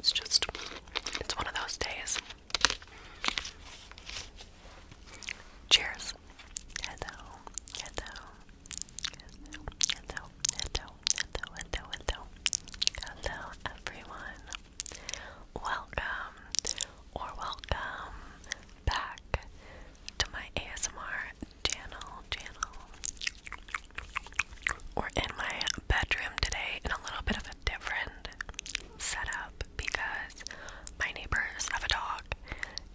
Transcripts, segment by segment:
It's just, it's one of those days. Cheers hello, hello, hello. Hello, everyone. Welcome or welcome back to my ASMR channel, channel. We're in my bedroom today in a little bit of a different setup because my neighbors have a dog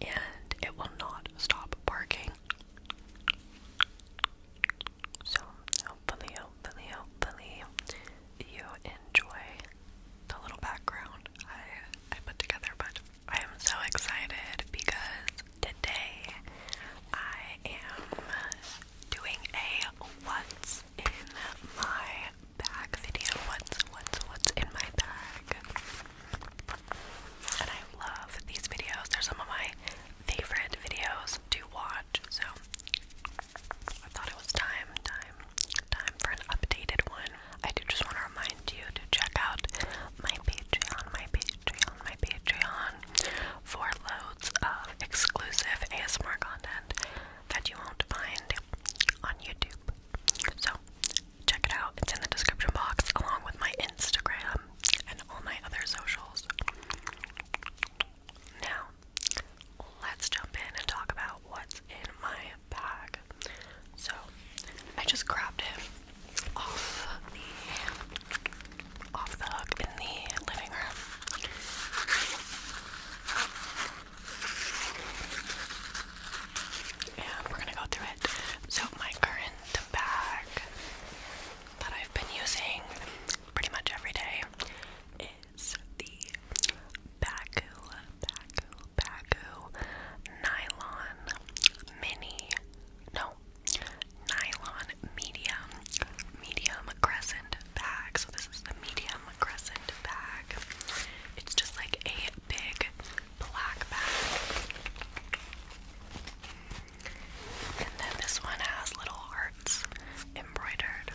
and it will not stop barking. So hopefully, hopefully, hopefully you enjoy the little background I I put together, but I am so excited because today I am doing a what's in my bag video. What's what's what's in my bag? And I love these videos. They're some of my favorite videos to watch. So I thought it was time, time, time for an updated one. I do just want to remind you to check out my Patreon, my Patreon, my Patreon for loads of exclusive ASMR content that you won't find on YouTube. So check it out. It's in the description box along with my Instagram and all my other socials. Now, let's jump in and talk about what's in my bag. So, I just grabbed him off the off the hook in the living room. And we're gonna go through it. So my current bag that I've been using pretty much every day is the Baku, Baku, Baku Nylon Mini, no, Nylon Medium, Medium Crescent Bag. So this is the Medium Crescent Bag. It's just like a big black bag. And then this one has little hearts embroidered.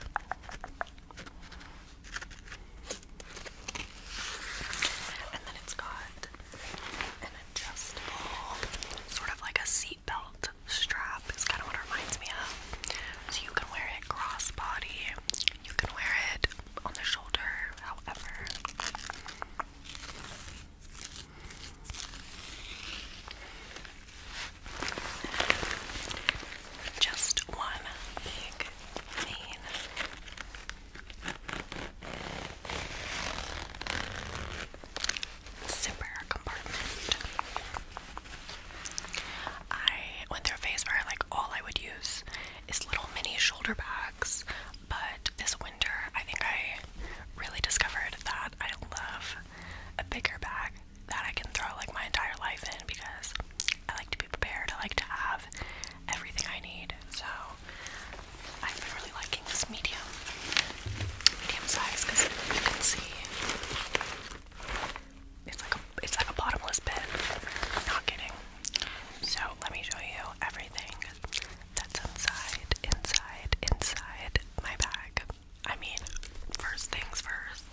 And then it's got an adjustable, sort of like a seatbelt strap, is kind of what reminds me of. So you can wear it crossbody, you can wear it on the shoulder, however. Just one big vein. Zipper compartment. I went through a phase where like all I would use is little mini shoulder bags, but this winter I think I really discovered that I love a bigger bag that I can throw like my entire life in because I like to be prepared. I like to have everything I need. So i am really liking this medium, medium size because you can see it's like a it's like a bottomless pit. Not kidding. So let me show you everything that's inside, inside, inside my bag. I mean, first things first,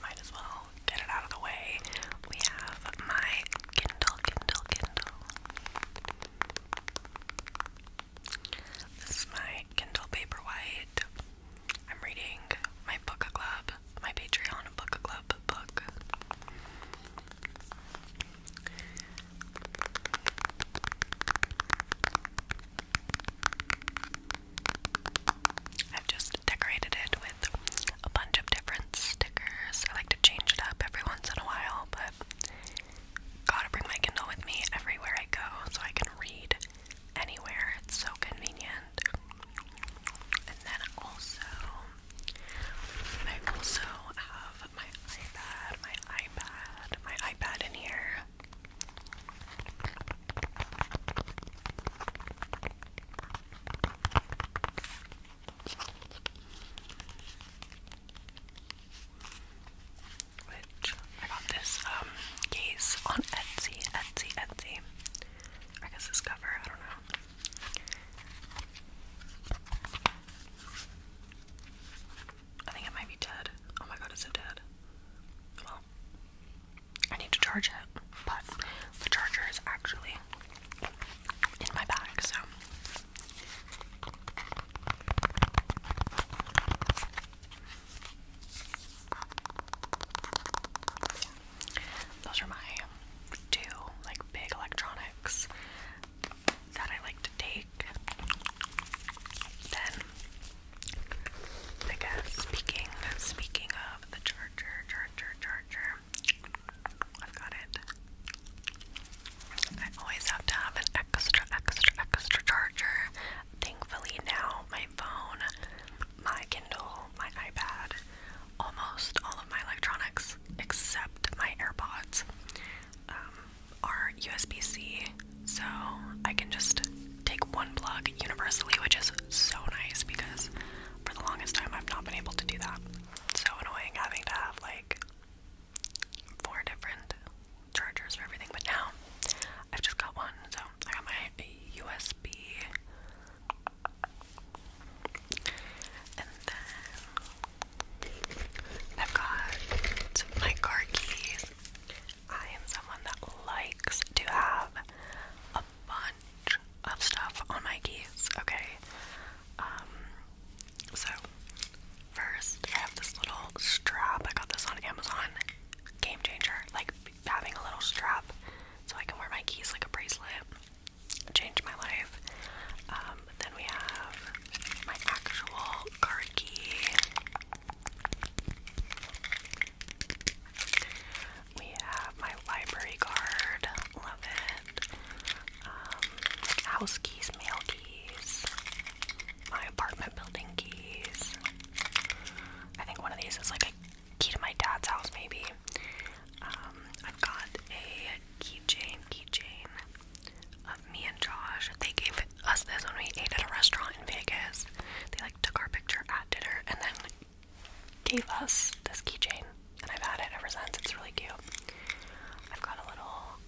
might as well get it out of the way. We have my Kindle, Kindle, Kindle. This is my Kindle Paperwhite. I'm reading my book club, my Patreon book club book. I've just decorated it with a bunch of different stickers. I like to change it up every once in a while, but gotta bring my Kindle with me everywhere I go so I can read anywhere. It's so convenient. And then also, I also have my iPad, my iPad, my iPad in here. Which I got this um, case on Etsy, Etsy, Etsy. I guess this cover, I don't know. I think it might be dead. Oh my god, is it dead? I need to charge it, but the charger is actually in my bag, so those are my two like big electronics that I like to take. Then I guess speaking speaking of the charger, charger, charger, I've got it. I always have to have an extra, extra, extra charger. Thankfully now my phone, my Kindle, my iPad, almost all of my electronics except my AirPods um, are USB-C so I can just take one plug universally, which is so nice because for the longest time I've not been able to do that. so annoying having to have like four different chargers for everything, but now I've just got one. So I got my USB, and then i got my car keys. I am someone that likes to have a bunch of stuff on my keys, okay? Um, so first I have this little strap. I got this on Amazon. Game changer. Like having a little strap so I can wear my keys like a bracelet. Changed my life. Um, then we have my actual car key. We have my library card, love it. Um, house keys, mail keys, my apartment building keys. I think one of these is like a key to my dad's house, maybe. Um, I've got a keychain, keychain of me and Josh. They gave us this when we ate at a restaurant in Vegas. They like took our picture at dinner and then gave us this keychain, and I've had it ever since. It's really cute. I've got a little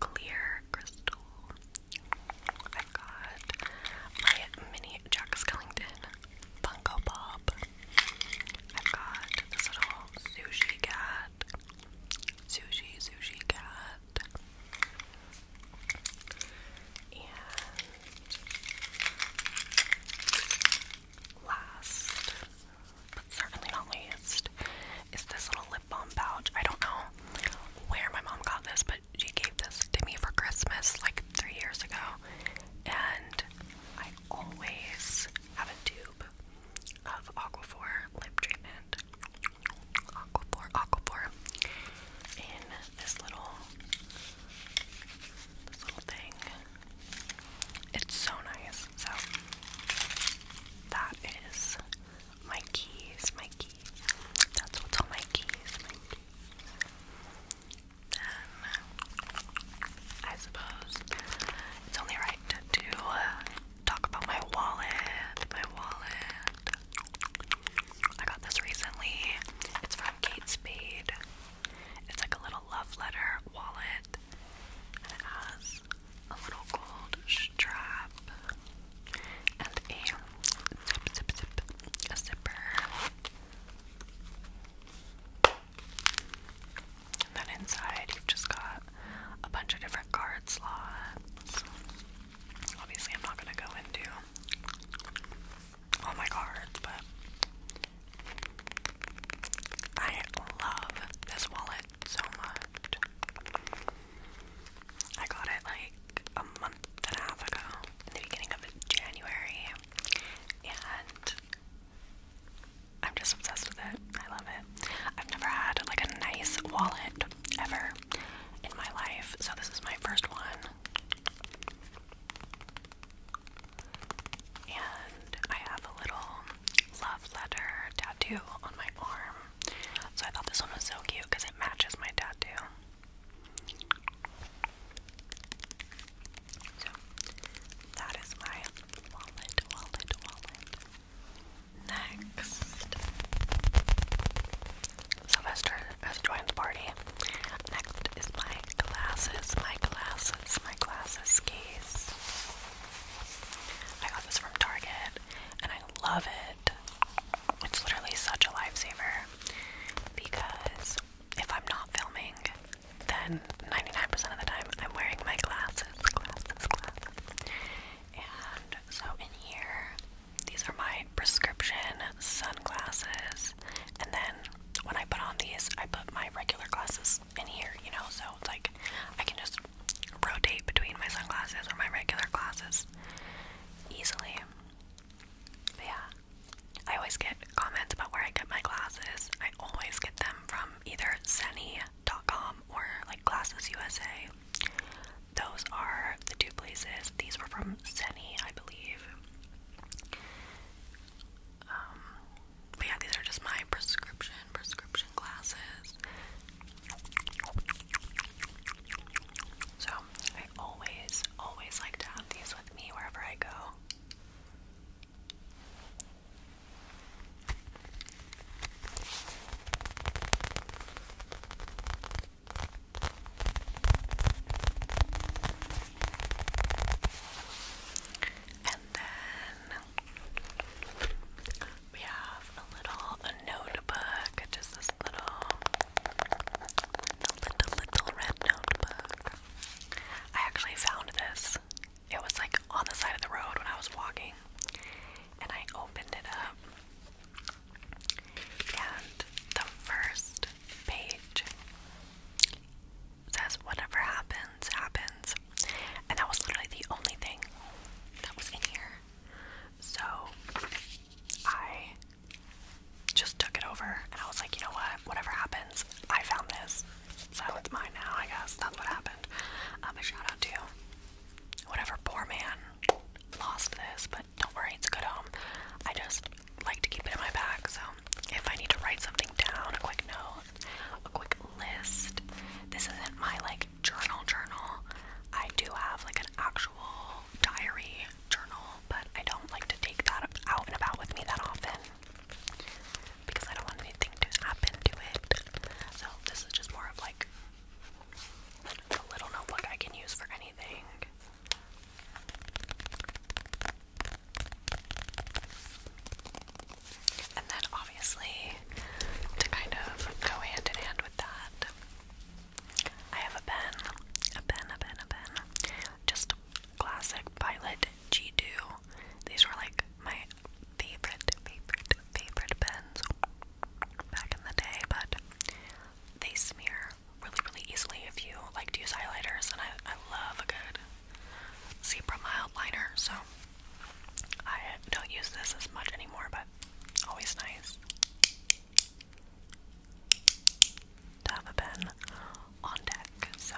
clear crystal. I've got my mini Jack Skellington Funko Pop. I've got this little sushi cat. Sushi, sushi cat. And last, but certainly not least, is this little lip balm pouch. I don't know where my mom got this, but she gave this to me for Christmas like three years ago. And I always have a tube of Aquaphor lip treatment. Aquaphor, Aquaphor in this little this little thing. It's so nice. So that is my keys, my key. That's what's on my keys, Then I suppose it's only right to talk about my wallet. My wallet. I got this recently. It's from Kate Spade. It's like a little love letter wallet. And it has a little gold strap and a zip, zip, zip, a zipper. And then inside, you've just got a bunch of different card slots. Obviously, I'm not gonna go into all my cards, but I love this wallet so much. I got it like a month and a half ago, in the beginning of January, and I'm just obsessed with it. I love it. I've never had like a nice wallet ever in my life, so this is my first one. And I have a little love letter tattoo on my arm. So I thought this one was so cute because it matches my tattoo. So that is my wallet, wallet, wallet. Next, Sylvester has joined the party. Next is my glasses, my glasses, my glasses case. I got this from Target and I love it. It's literally such a lifesaver because if I'm not filming, then 99% of the time I'm wearing my glasses, glasses, glasses. And so in here, these are my prescription sunglasses. And then when I put on these, I put my regular glasses in here, you know, so it's like I can just rotate between my sunglasses or my regular glasses easily. yeah. I always get comments about where I get my glasses. I always get them from either Zenny.com or like Glasses USA. Those are the two places. These were from Zenny, I believe. Um, but yeah, these are just my prescription prescription glasses. So I always, always like to have these with me wherever I go. And then we have a little a notebook, just this little, little, little red notebook. I actually found this. It was like on the side of the road when I was walking, and I opened it up and the first page says, Whatever happens, happens. And that was literally the only thing that was in here. So I just took it over and I was like, you know what? Whatever happens, I found this. So it's mine now, I guess. That's what happened. Um, a shout out to whatever poor man lost this, don't worry, it's a good home. Um, I just like to keep it in my bag, so if I need to write something down, a quick note, a quick list, this isn't my like journal journal. I do have like an actual diary journal, but I don't like to take that out and about with me that often because I don't want anything to happen to it. So this is just more of like a little notebook I can use for anything. And then, obviously, to kind of go hand in hand with that, I have a pen, a pen, a pen, a pen. Just classic Pilot G2. These were like my favorite, favorite, favorite pens back in the day, but they smear really, really easily if you like to use highlighters. And I, I love a good zebra mild liner, so I don't use this as much anymore, but always nice to have a pen on deck. So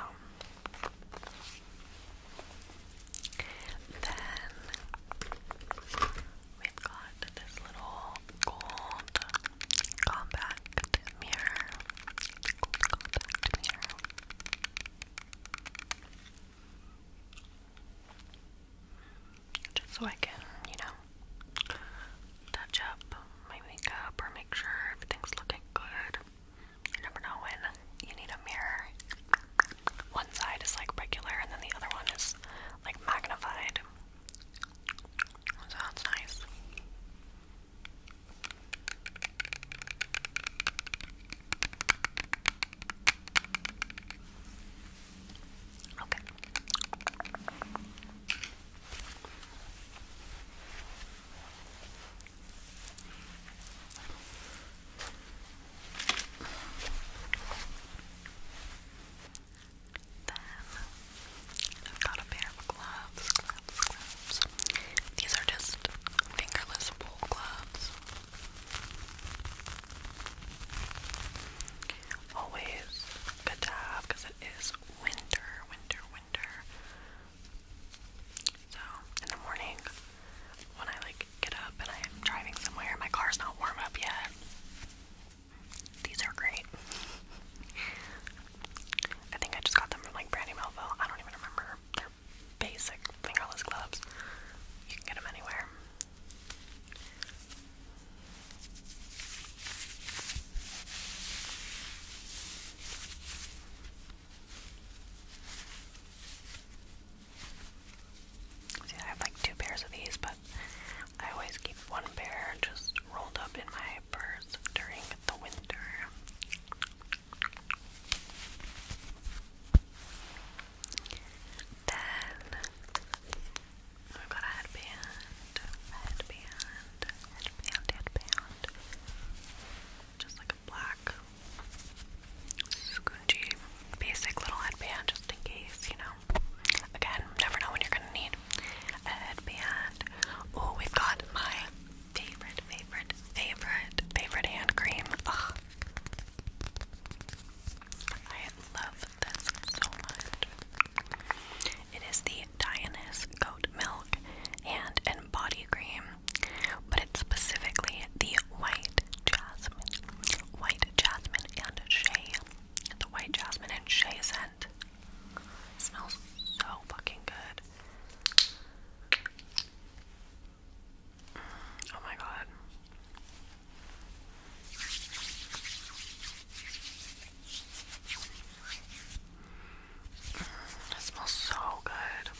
then we've got this little gold compact mirror. Gold compact mirror. Just so I can, you know, touch up my makeup or make sure everything's looking good. You never know when you need a mirror. One side is like regular, and then the other one is like magnified. Sounds oh, nice. Okay. Then I've got a pair of gloves, These are just fingerless wool gloves. Always good to have because it is winter, winter, winter. So in the morning, when I like get up and I'm driving somewhere, my car's not warm up yet. These are great. I think I just got them from like Brandy Melville. I don't even remember. They're basic fingerless gloves. You can get them anywhere. See, I have like two pairs of these, but I always keep one pair just rolled up in my purse during the winter. Then I've got a headband, headband, headband, headband. Just like a black scoochy basic little headband just in case, you know. Again, never know when you're gonna need a headband. Oh, we've got my favorite, favorite, favorite, favorite hand cream. Ugh. I love this so much. It is the Dionys Goat Milk Hand and Body Cream, but it's specifically the white jasmine, white jasmine and shea. The white jasmine and shea scent. It smells so fucking good. oh my god. it smells so good.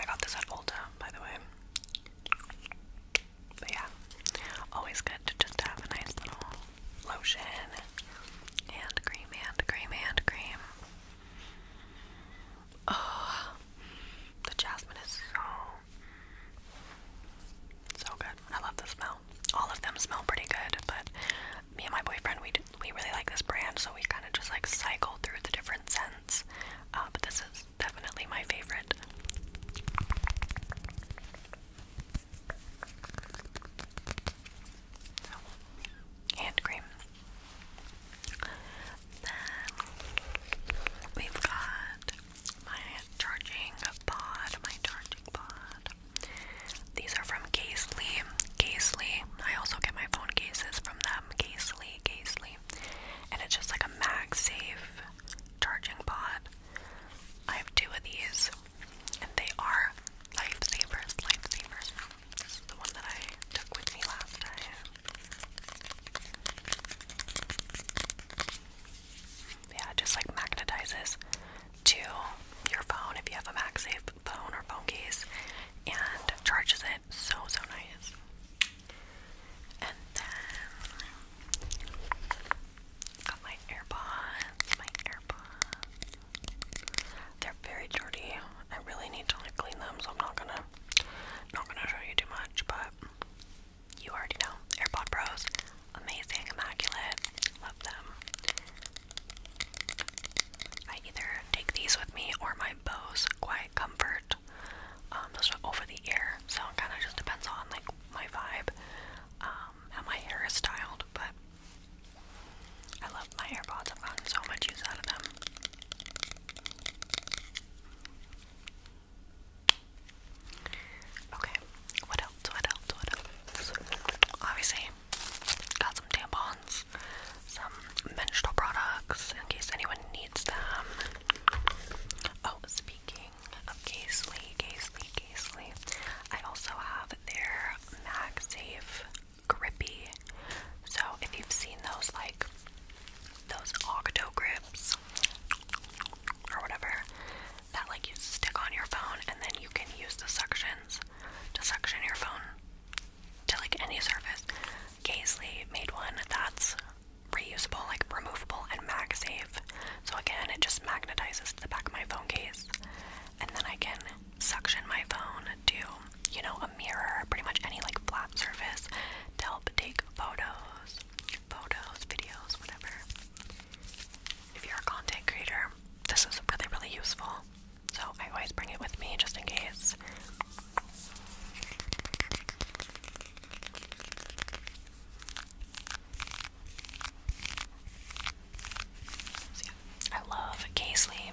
I got this at Ulta, by the way yeah, always good to just have a nice little lotion, hand cream, hand cream, hand cream. Oh, the jasmine is so, so good. I love the smell. All of them smell pretty good, but me and my boyfriend, we, we really like this brand, so we kind of just like cycle through the different scents. Uh, but this is definitely my favorite hand cream. we've got my charging pod, my charging pod. These are from Casely. Casely. I also get my phone cases from them. Casely, Casely. And it's just like a MagSafe charging pod. I have two of these and they are lifesavers, lifesavers. This is the one that I took with me last time. Yeah, it just like magnetizes to your phone if you have a MagSafe phone or phone case and charges it. So, so nice. And then Got my AirPods, my AirPods. They're very dirty. I really need to like clean them, so I'm not gonna not gonna show you too much, but you already know. AirPod Pros, amazing, immaculate, love them. I either take these with me or my Bose Quiet Comfort. Um, those are over the ear, so it kind of just depends on like my vibe. Um, how um, my hair is styled, but I love my AirPods. I've gotten so much use out of them. Okay, what else? What else? What else? Obviously, got some tampons, some menstrual products in case anyone needs them. Oh, speaking packaging of Casely, Casely, Casely. I also have their MagSafe Grippy. So if you've seen those, like those Octo grips or whatever, that like you stick on your phone and then you can use the suctions to suction your phone to like any surface. Casely made one that's reusable, like removable, and MagSafe so again, it just magnetizes to the back of my phone case, and then I can suction my phone to, you know, a mirror, pretty much any like flat surface to help take photos, photos, videos, whatever. If you're a content creator, this is really, really useful. So I always bring it with me just in case. I love Casely.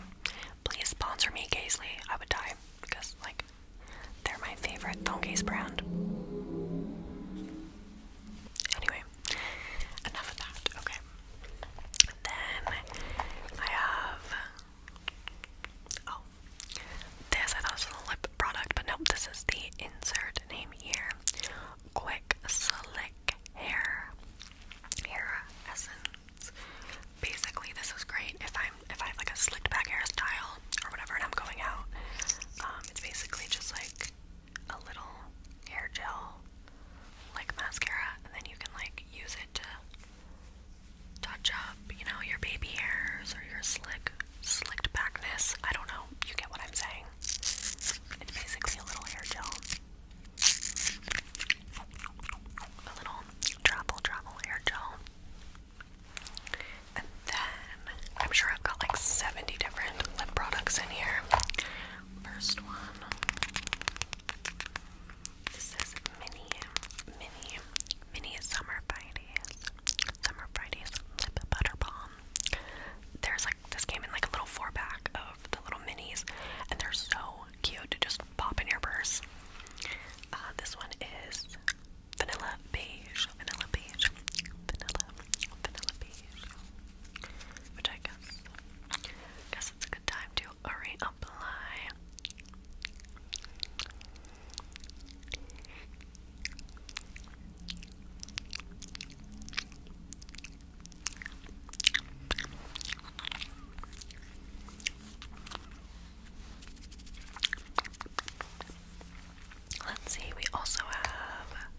Please sponsor me, Casely. I would die because like they're my favorite Tongaze brand. Anyway, enough of that. Okay. Then I have oh this I thought was a lip product, but nope, this is the insert name here quick, slick hair, hair essence. Basically, this is great if I'm if I have like a slicked back hairstyle or whatever, and I'm going out. Um, it's basically just like a little hair gel, like mascara, and then you can like use it to touch up, you know, your baby hairs or your slick, slicked backness. I don't know. You get what I'm saying. It's basically a little hair gel. A little travel, travel hair gel. And then I'm sure I've got like 70 different lip products in here. First one. This is Mini, Mini, Mini Summer Fridays. Summer Fridays Butter Balm. There's like pack. This came in like a little four pack of the little minis, and they're so cute to just pop in your purse. Uh, this one is vanilla beige, vanilla beige, vanilla, vanilla beige. Which I guess, guess it's a good time to reapply. Let's see, we also have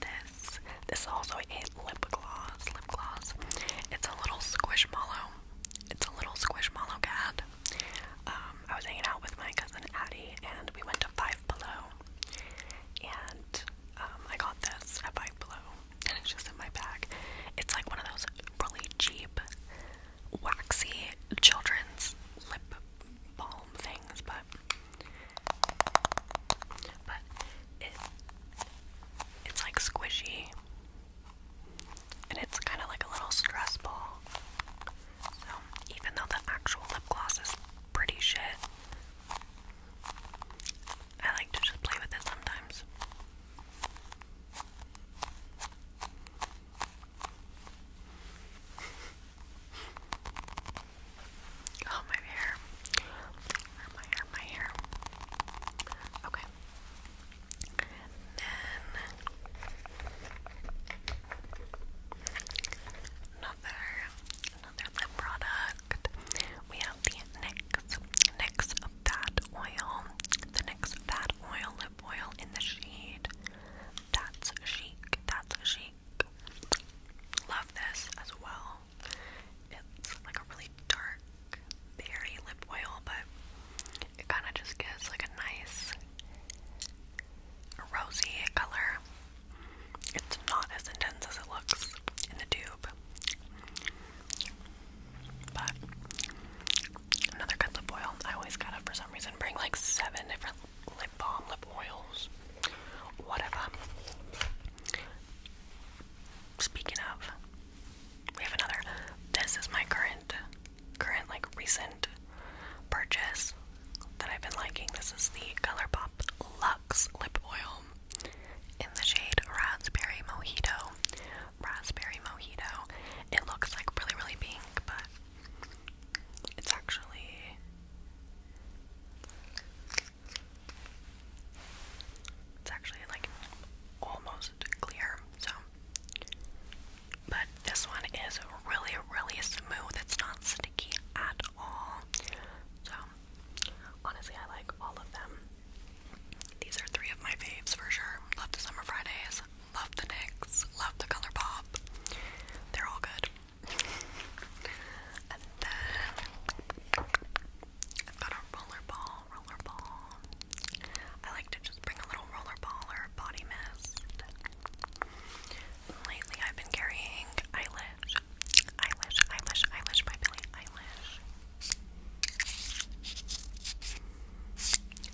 this. This is also a lip gloss. Lip gloss. It's a little squishmallow. It's a little squishmallow cat. Um, I was hanging out with my cousin Addy, and we went to Five Below and um, I got this at Five and it's just in my bag. It's like one of those really cheap, waxy children's lip balm things, but but it it's like squishy, and it's kind of like a little stress ball. So even though the actual lip gloss is pretty shit, I like to just play with it sometimes. oh, my hair. My hair, my hair. Okay. then another another lip product. We have the NYX, Fat Oil, the NYX Fat Oil Lip Oil in the shade That's Chic, That's Chic. Love this as well. It's like a really dark, berry lip oil, but it kind of just gives like a nice rosy color. It's not as intense as it looks in the tube. But another good oil. I always gotta for some reason bring like seven different lip balm, lip oils, whatever. Speaking of, we have another. This is my current current like recent purchase that I've been liking. This is the ColourPop Lux Lip Oil in the shade Raspberry Mojito. Raspberry Mojito. It looks like really, really pink, but it's actually. It's actually like almost clear, so. But this one is really, really smooth. It's not sticky at all. So Honestly, I like all of them. These are three of my faves for sure. Love the Summer Fridays, love the Nicks. love the Color Pop. They're all good. and then I've got a rollerball, rollerball. I like to just bring a little rollerball or body mist. Lately, I've been carrying eyelash eyelash, eyelash, eyelash, eyelash by Billie Eyelash.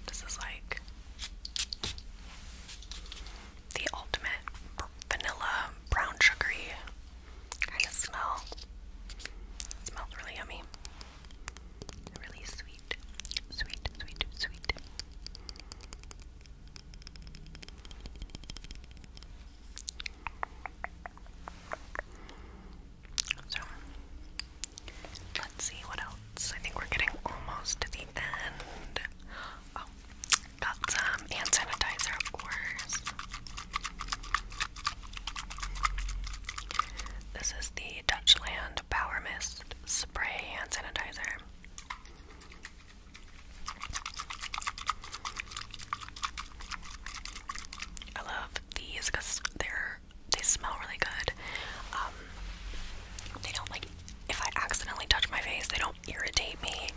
This is like the ultimate vanilla brown sugary kind of smell. smells really yummy. Really sweet, sweet, sweet, sweet. So let's see what else. I think we're getting almost to the end. Oh, got some hand sanitizer, of course. This is the Dutchland Power Mist Spray Hand Sanitizer. I love these because they're they smell really good. Um, they don't like if I accidentally touch my face, they don't irritate me,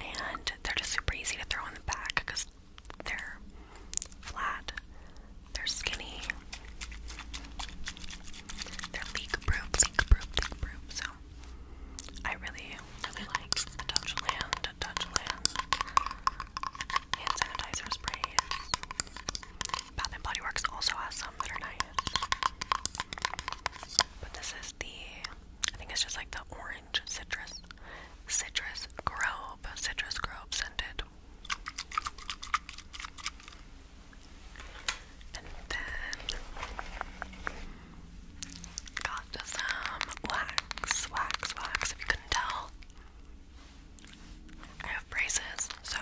and they're just super easy to throw in the back because they're flat, they're skinny, they're leak proof, leak proof, leak proof. So I really, really like the Touchland, Touchland hand sanitizer sprays. Bath and Body Works also has some that are nice. But this is the, I think it's just like the orange citrus, citrus grove, citrus grove scented. And then Got some wax, wax, wax, if you couldn't tell. I have braces, so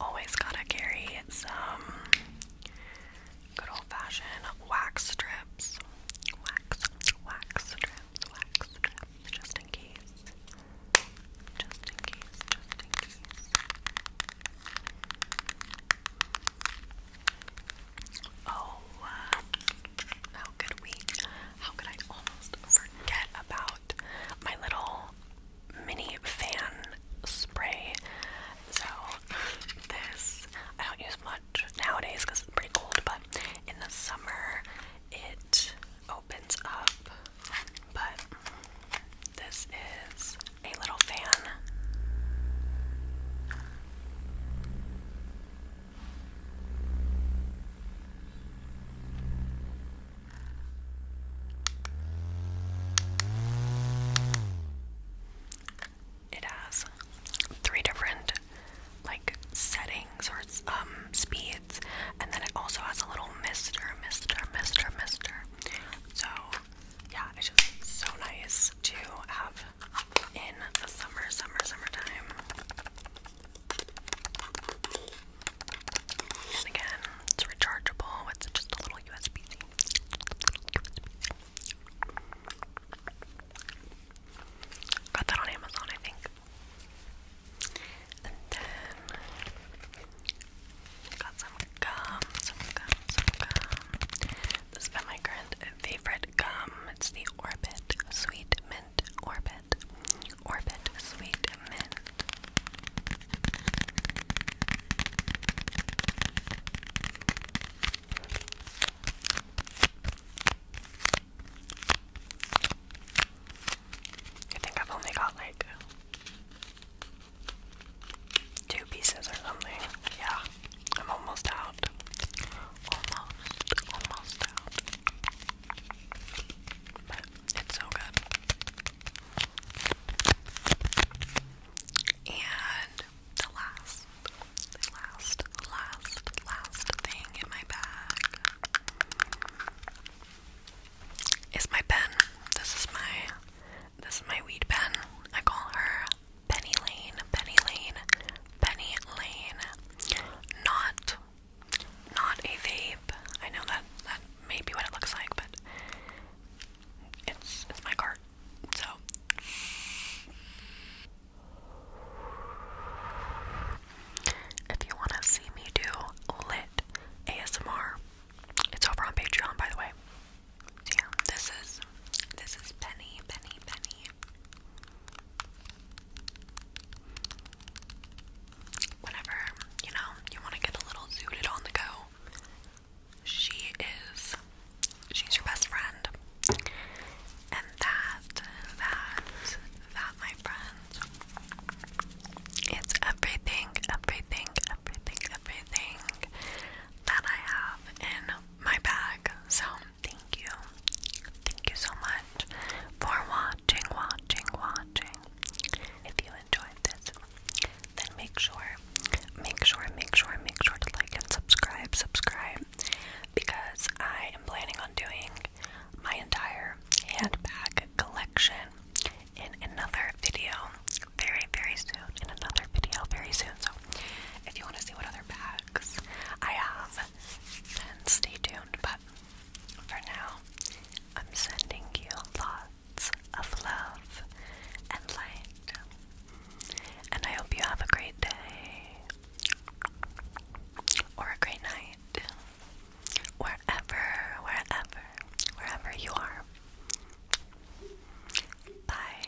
always gotta carry some good old fashioned wax strips. Wax, wax strips, wax strips, just in case. Just in case, just in case. Oh, how could we? How could I almost forget about my little mini fan spray? So, this I don't use much nowadays because it's pretty cold, but in the summer it opens up. But this is a little fan. It has three different like settings or um, speeds and then it also has a little mister, mister, mister, mister. So yeah, it's just so nice to have in the summer, summer, summertime. again, it's rechargeable. It's just a little USB Got that on Amazon, I think. And then got some gum, some gum, some gum. This has been my grand favorite gum. It's the Orbit Sweet Mint Orbit. Orbit Sweet Mint. I think I've only got like two pieces or something. Yeah. I'm almost out. Almost, almost out. But it's so good. And the last, last, last, last thing in my bag is my pen. This is my this is my weed pen. I call her Penny Lane, Penny Lane, Penny Lane. Not not a vape. I know that that may be what it looks like, but it's it's my cart. So if you wanna see me do lit ASMR, it's over on Patreon by the way. So yeah, this is this is Penny, Penny, Penny. Whenever, you know, you want to get a little zooted on the go, she is, she's your best friend. And that, that, that, my friends, it's everything, everything, everything, everything that I have in my bag. So, Thank you. Thank you so much for watching, watching, watching. If you enjoyed this, then make sure, make sure, make sure, make sure to like and subscribe, subscribe, because I am planning on doing my entire handbag collection in another video very, very soon. In another video very soon. So if you want to see what other bags I have, then stay tuned. But for now, I'm sending you lots of love and light. And I hope you have a great day or a great night. Wherever, wherever, wherever you are. Bye.